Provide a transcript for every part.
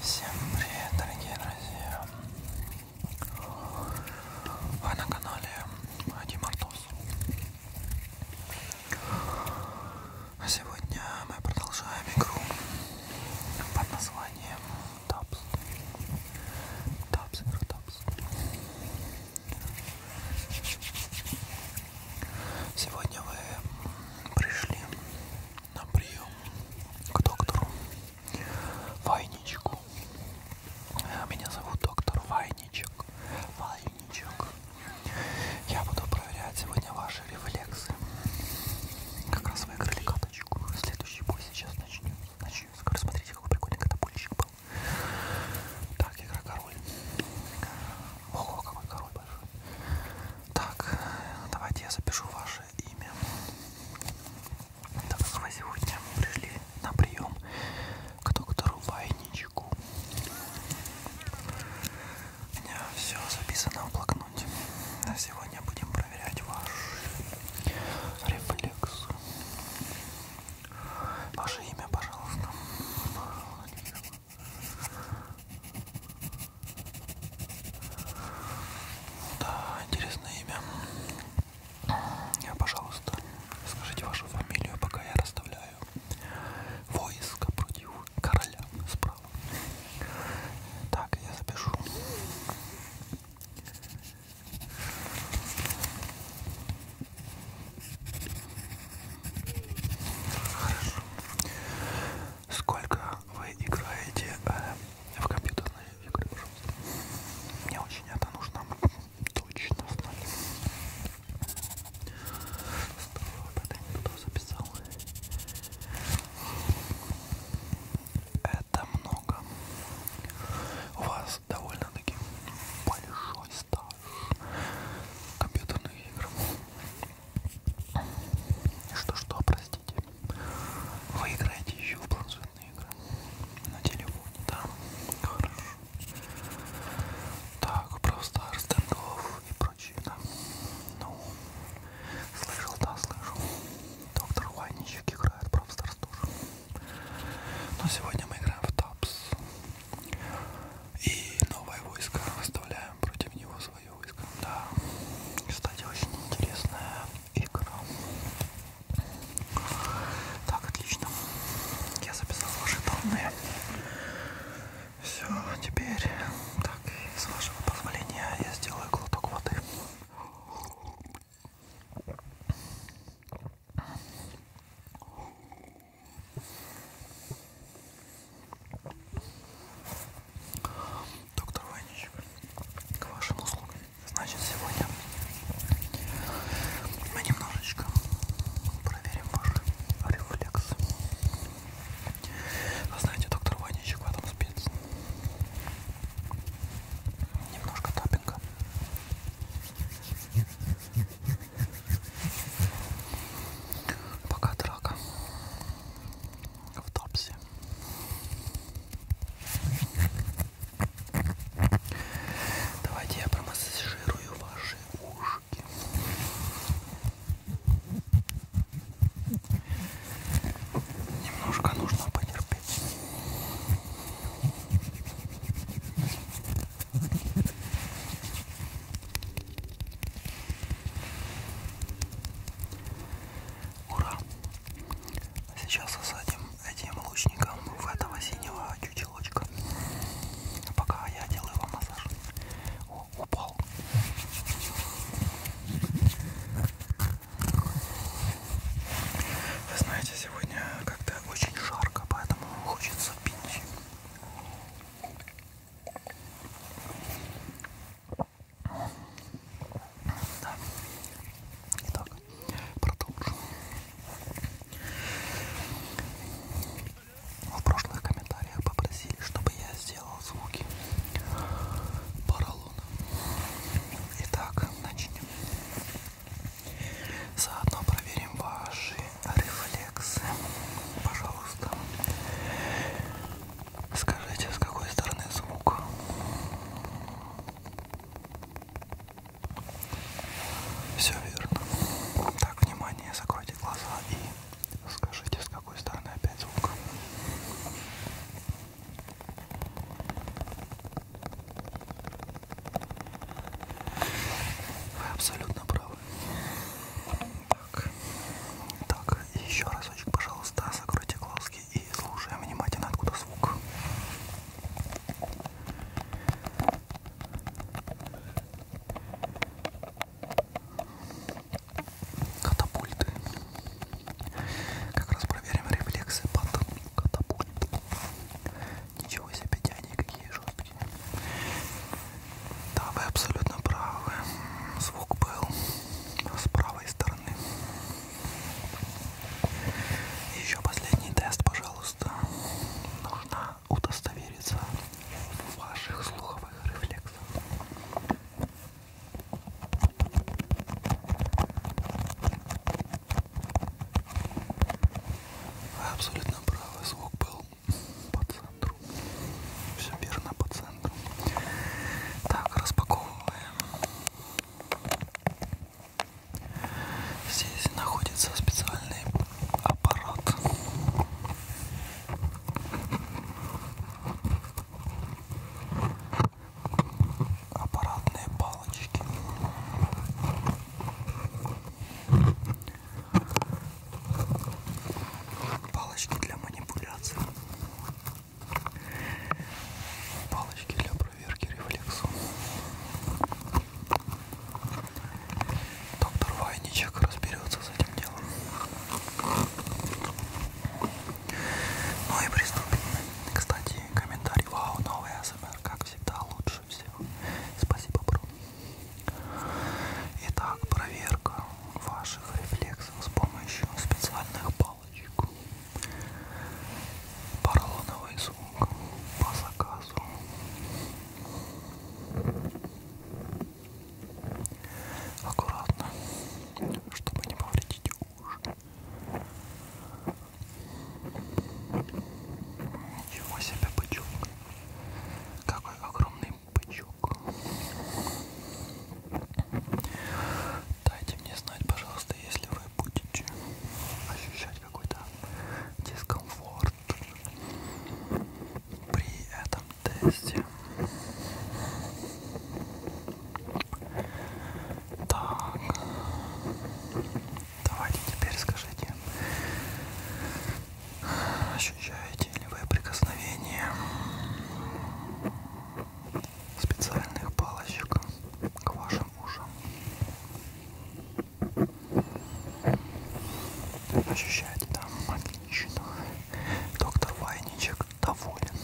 Всем привет, дорогие друзья! Вы на канале Ади Мартос. А сегодня мы продолжаем игру под названием Тапс. Тапс, игра Тапс. Сегодня вы пришли на прием к доктору Вайничку. Меня зовут доктор Вайничек. Вайничек. Я буду проверять сегодня ваши рефлексы. Как раз выиграли каточку. Следующий бой сейчас начнем. Начнем. Скоро смотрите, какой прикольный катапульщик был. Так, игра король. Ого, какой король большой. Так, давайте я запишу ваши имя. Так как ну, вы сегодня пришли на прием к доктору Вайничку. У меня все записано в блокноте. А сегодня будем проверять ваш рефлекс. Ваше имя, пожалуйста. Пожалуйста. Да, интересное имя. Пожалуйста, скажите вашу фамилию, пока я расставляю войско против короля справа. Так, я запишу. Хорошо. Сколько вы играете э, в компьютерные игры, пожалуйста? Мне очень это нужно точно знать. Здорово, это не туда записал. Это много. У вас довольно-таки большой стаж компьютерных игр. Что-что, простите. Вы играете еще в планшетные игры? На телефоне, да? Хорошо. Так, просто стендов и прочее, да? Ну, слышал, да, слышал. Доктор Ванничек играет в Старс тоже. Но сегодня мы играем в Тапс. И новое войско выставляем против него свои свое войско. Да, кстати, очень интересная игра. Так, отлично. Я записал ваши данные. Все, теперь, так, и с вашего позволения я сделаю глоток воды. Доктор Ванич, к вашим услугам. Значит, сегодня мы немножечко проверим ваш рефлекс. Вы знаете, доктор Ваничек в этом спец. Немножко таппинга. Пока драка в топсе. Давайте я промассажирую ваши ушки. Немножко нужно потерпеть. Ура! Сейчас осадим этим лучником в этого синего чучелочка. Пока я делаю вам массаж. О, упал. Вы знаете, сегодня как-то очень жарко, поэтому хочется пить. Да. Итак, продолжим. В прошлых комментариях попросили, чтобы я сделал звуки поролона. Итак, начнем. Заодно проверим ваши рефлексы. Пожалуйста. Скажите, с какой стороны звук? Все верно. Так, внимание, закройте глаза и скажите, с какой стороны опять звук. Вы абсолютно правы. Так, так еще разочек, пожалуйста, закройте глазки и слушаем внимательно, откуда звук. Катапульты. Как раз проверим рефлексы под катапульт. Ничего себе, они какие жесткие. Да, вы абсолютно правы. Звук был с правой стороны стороны. Еще последний тест, пожалуйста. Нужно удостовериться в ваших слуховых рефлексах. Абсолютно правый звук был по центру. Все верно по центру. Так, распаковываем. Здесь находится специальный аппарат. Аппаратные палочки. Палочки для манипуляции палочки для проверки рефлексов. Доктор Вайничек разберется с этим делом. Ну и приступим. Кстати, комментарий. Вау, новый АСМР, как всегда, лучше всего. Спасибо, бро. Итак, проверка ваших рефлексов с помощью специальных палочку, поролоновый сумку по заказу. Аккуратно, чтобы не повредить уши. Ничего себе бычок. Какой огромный бычок. Дайте мне знать, пожалуйста, если вы будете ощущать какой-то дискомфорт при этом тесте. Так, давайте теперь скажите, ощущаете ли вы прикосновение специальных палочек к вашим ушам. Ощущаете, да, отлично. Доктор Вайничек доволен.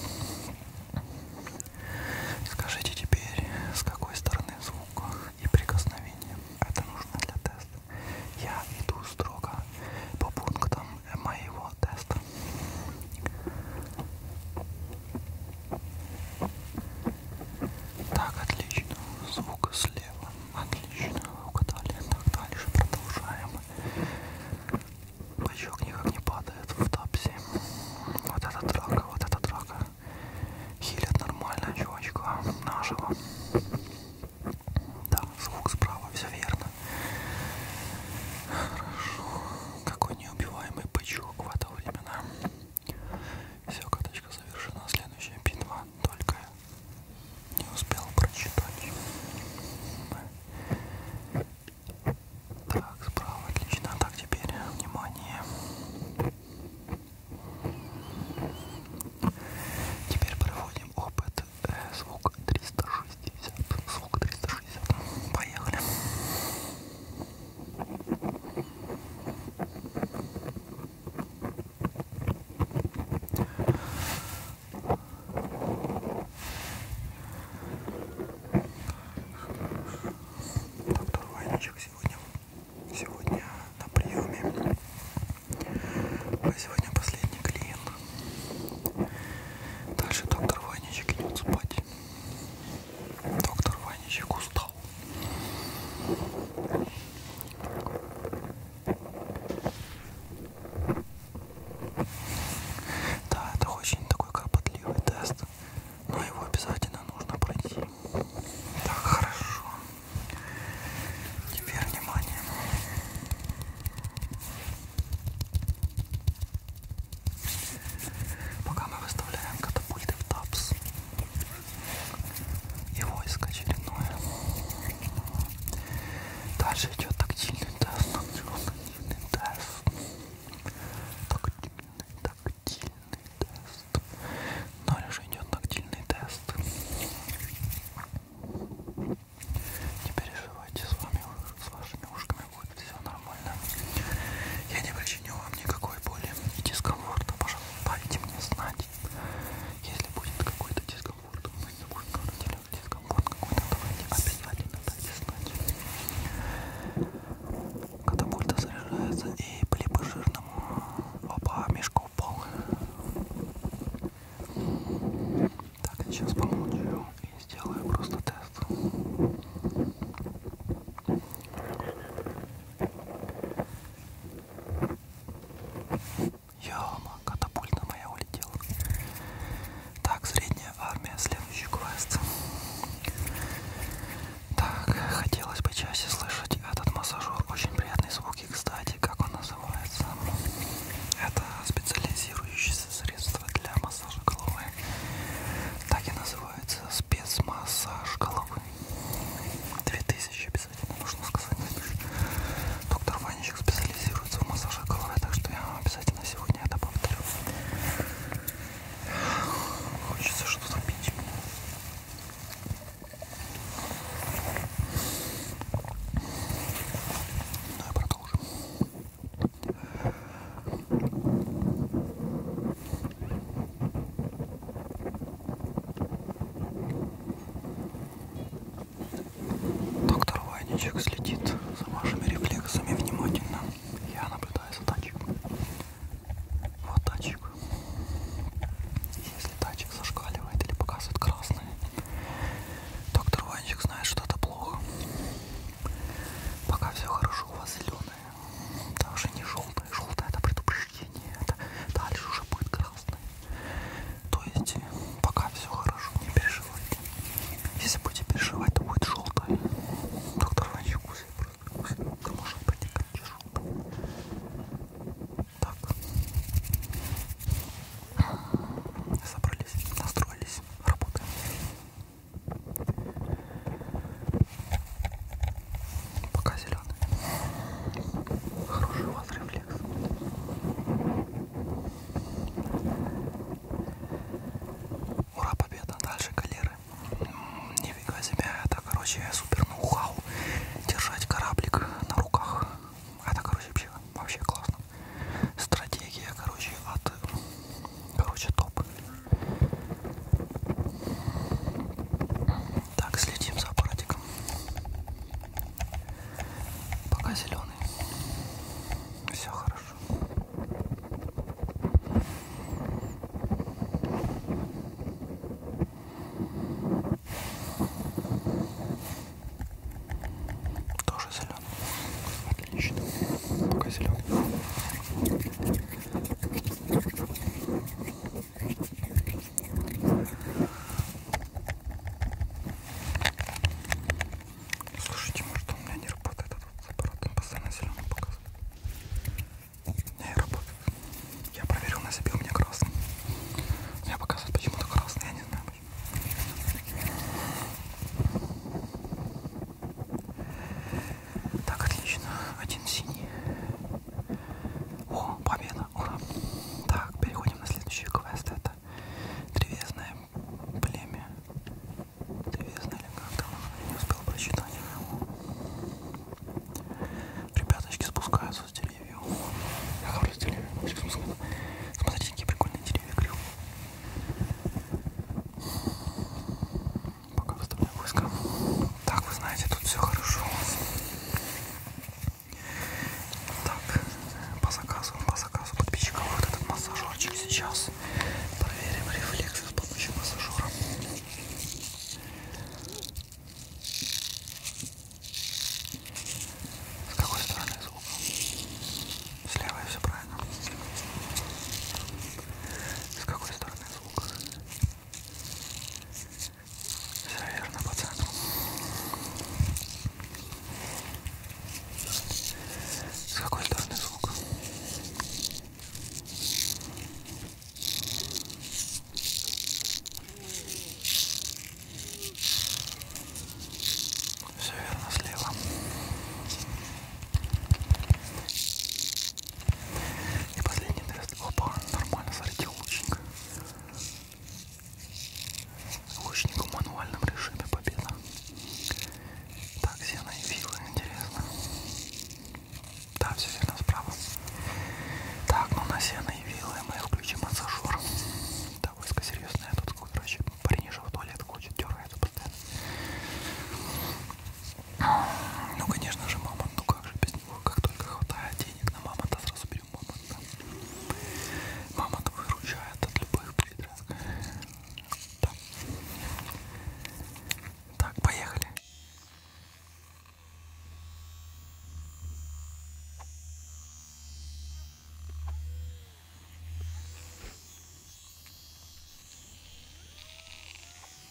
Скажите теперь, с какой стороны звук и прикосновение. Это нужно для теста. Я иду строго по пунктам моего теста. Так, отлично. Звук слева. Отлично. Угадали. Так, дальше продолжаем. Пачок никак не падает в тапсе. Вот это драка, вот это драка. Хилят нормально, чувачка. Нашего. Да, звук справа, все верно. Хорошо. Какой такой неубиваемый пычок в это времена. Все, каточка завершена. Следующая битва. Только не успел прочитать. Так, справа отлично. Так, теперь внимание. Теперь проводим опыт. Э, звук 360 250, звук 360. Поехали. Доктор Ванечек сегодня, сегодня на приеме. Сегодня последний клиент. Дальше доктор Ванечек идет спать. Доктор Ваничек устал. Да, это очень такой кропотливый тест, но его обязательно нужно пройти. Так, хорошо. Теперь внимание. Пока мы выставляем катапульты в ТАПС. И войск очередное. Дальше идет тактильный тест. Тактильный тест. Тактильный, тактильный тест. Дальше идет тактильный тест. Теперь переживайте, с вами с вашими ушками будет все нормально. Я не причиню вам никакой боли и дискомфорта. Пожалуйста, дайте мне знать, если будет какой-то дискомфорт. Мы не будем говорить о дискомфорт какой-то. Давайте обязательно дайте знать. Катапульта заряжается и по жирному оба мешка упал. Так, сейчас помолчу и сделаю просто тест. Яма, катапульта моя улетела. Так, средняя армия, следующий квест. Так, хотелось бы чаще слышать этот массажер. Очень приятные звуки, кстати, как он называется. Это специализирующееся средство для массажа головы. Так и называется называется спецмассаж головы. 2000 обязательно нужно сказать. Доктор Ванечек специализируется в массаже головы, так что я обязательно сегодня это повторю. Хочется что-то пить. Ну и продолжим. Доктор Вайничек следит за вашими рефлексами внимательно. Я наблюдаю за тачком. Вот тачек. Если тачек зашкаливает или показывает красный, доктор Ванчик знает, что это плохо. Пока все хорошо, у вас зеленое. Даже не желтая. Желтая это предупреждение. Это дальше уже будет красный. То есть пока все хорошо, не переживайте. Если будете переживать, то будет желтая. Доктор Ванчик кусает просто. Да может быть и желтая. Так. Собрались, настроились, работаем. Пока зеленый. Хороший у вас рефлекс. Ура, победа. Дальше галеры. Нифига себе. Это, короче, супер ноу-хау. Держать кораблик на руках. Это, короче, вообще, вообще классно. Стратегия, короче, от... Короче, топ. Так, следим за аппаратиком. Пока зеленый. Все хорошо. Тоже зеленый. Отлично. Пока зеленый. Слушайте, может у меня не работает этот аппарат, он постоянно зеленый показывает. Не работает. Я проверил на себе, у меня красный. У меня показывает почему-то красный, я не знаю почему. Так, отлично. Один синий. О, победа. Ура. Так, переходим на следующий квест. Это древесное племя. Древесное или как там? Не успел прочитать. Ребяточки спускаются с деревьев. Я хорошо с деревьев. Смотрите, какие прикольные деревья, клюв. Пока выставляю войска. Так, вы знаете, тут все хорошо. Так, по заказу, по заказу подписчиков вот этот массажерчик сейчас. Проверим рефлексы с помощью массажера. С какой стороны звук? Слева все правильно. С какой стороны? шикарный звук. Все верно по центру. С какой стороны звук? Все верно слева. И последний тест. Опа, нормально залетел лучник. Лучнику в мануальном режиме победа. Так, зена и вилы, интересно. Да, все верно, справа. Так, ну на сено и вилы мы включим массажер. Довольно серьезная тут, короче, парень в туалет хочет, дергается постоянно. Ну, конечно же, мамонт, ну как же без него, как только хватает денег на мамонта, сразу берем мамонта. Мамонт выручает от любых придраск. Да. Так, поехали.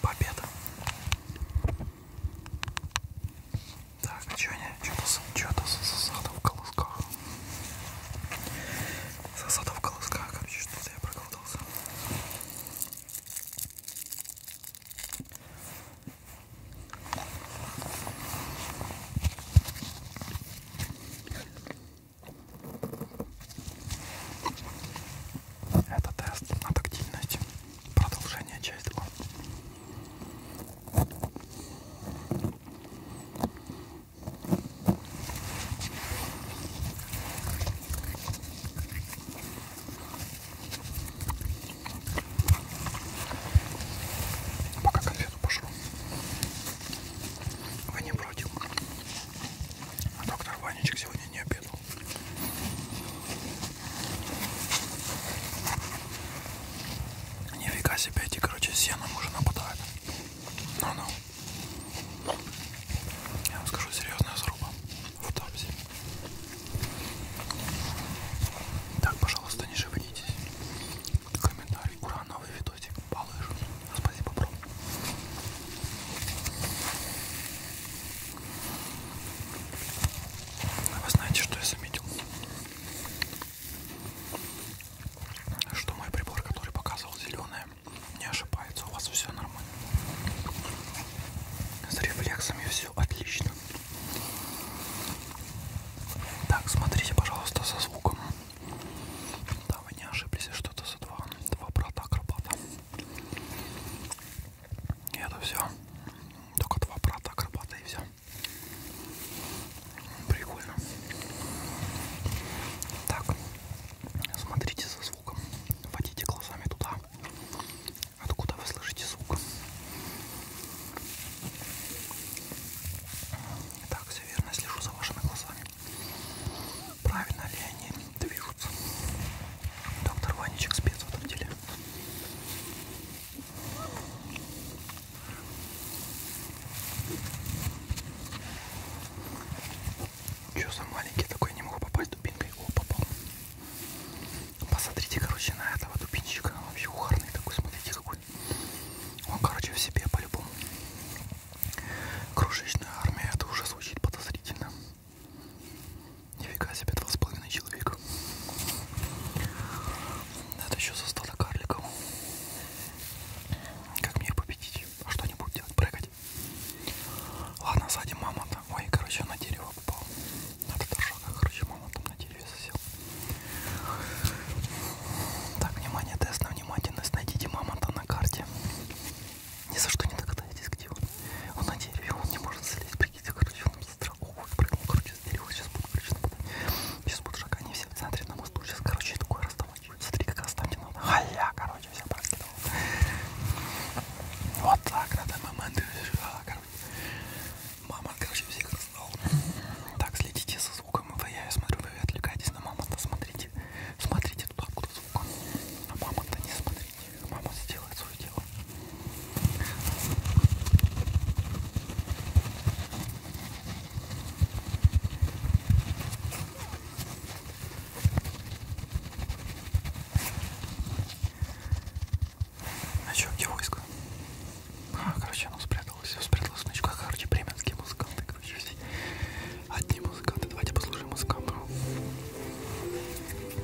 Победа. Так, а что они? Что-то засада в колосках. Засада в колосках, короче, что-то я проголодался. Это тест на тактильность. Продолжение часть 2. Пока конфету пошел. Вы не против? А доктор Ванечек сегодня не обедал. Нифига себе, эти, короче, сеном уже нападают. Ну-ну. Я вам скажу, серьезная заруба в тапсе. Так, пожалуйста, не шевелитесь. Комментарий. Ура, новый видосик. Балыш. Спасибо, бро. А вы знаете, что я заметил? Что мой прибор, который показывал зеленое, не ошибается. У вас все нормально. С рефлексами все отлично. Так, смотрите, пожалуйста, со звуком. Да, вы не ошиблись, что-то за два. Два брата акробата. И это все. Только два брата акробата и все. Прикольно. Так, смотрите за звуком. Водите глазами туда, откуда вы слышите звук. Так, все верно, слежу за вашими глазами. Правильно ли они движутся? Доктор Ванечек спец в этом деле. Чё за маленький такой, не могу попасть дубинкой. О, попал. Посмотрите, короче, на этого дубинчика. Он вообще ухарный такой, смотрите какой. Он, короче, в себе по-любому. Крошечная армия, это уже звучит подозрительно. Нифига себе, два с половиной человека. Это еще со стада карликов. Как мне их победить? А Что-нибудь делать, прыгать? Ладно, сзади мамонта. Ой, короче, на дерево попал. Надо торжок, короче, мамонтом на дереве засел. Так, внимание, тест на внимательность. Найдите мамонта на карте. Ни за что не догадаетесь, где он. Он на дереве, он не может залезть прикиньте, короче, он страховый прыгнул, короче, с дерева, сейчас буду, короче, нападать. Сейчас будут шаг, они все в центре на мосту, сейчас, короче, такой раздавать. Смотри, как раздавать надо. Халя, короче, все прокидал. Вот так, на данный момент, а, короче. Мама, короче, всех раздал. Так, следите за звуком, вы, я смотрю, вы отвлекаетесь на мамонта, смотрите. Смотрите туда, откуда звук. На мамонта не смотрите. Мама сделает свое дело. А чё, где войско? А, короче, оно спряталось. Спряталось в ну ночках. Короче, бременские музыканты, короче, все. Одни музыканты. Давайте послушаем музыкантов.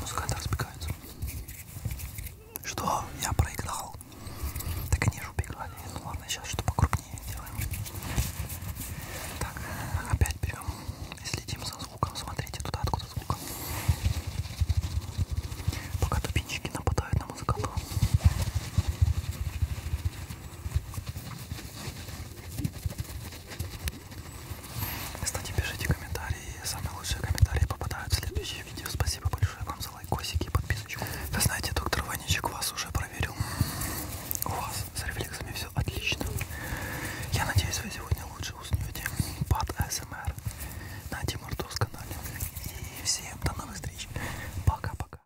Музыканты разбегаются. Что? Я проиграл. Так они же убегали. Ну ладно, сейчас что покрупнее делаем. Так, опять берем и следим за звуком. Смотрите туда, откуда звук. Пока тупинчики нападают на музыкантов. Кстати, пишите комментарии. Самые лучшие комментарии попадают в следующее видео. Спасибо большое вам за лайкосики и подписочку. Вы знаете, доктор Ваничек вас уже проверил. У вас с рефлексами все отлично. Я надеюсь, вы сегодня лучше уснете под СМР на Тимуртовском канале. И всем до новых встреч. Пока-пока.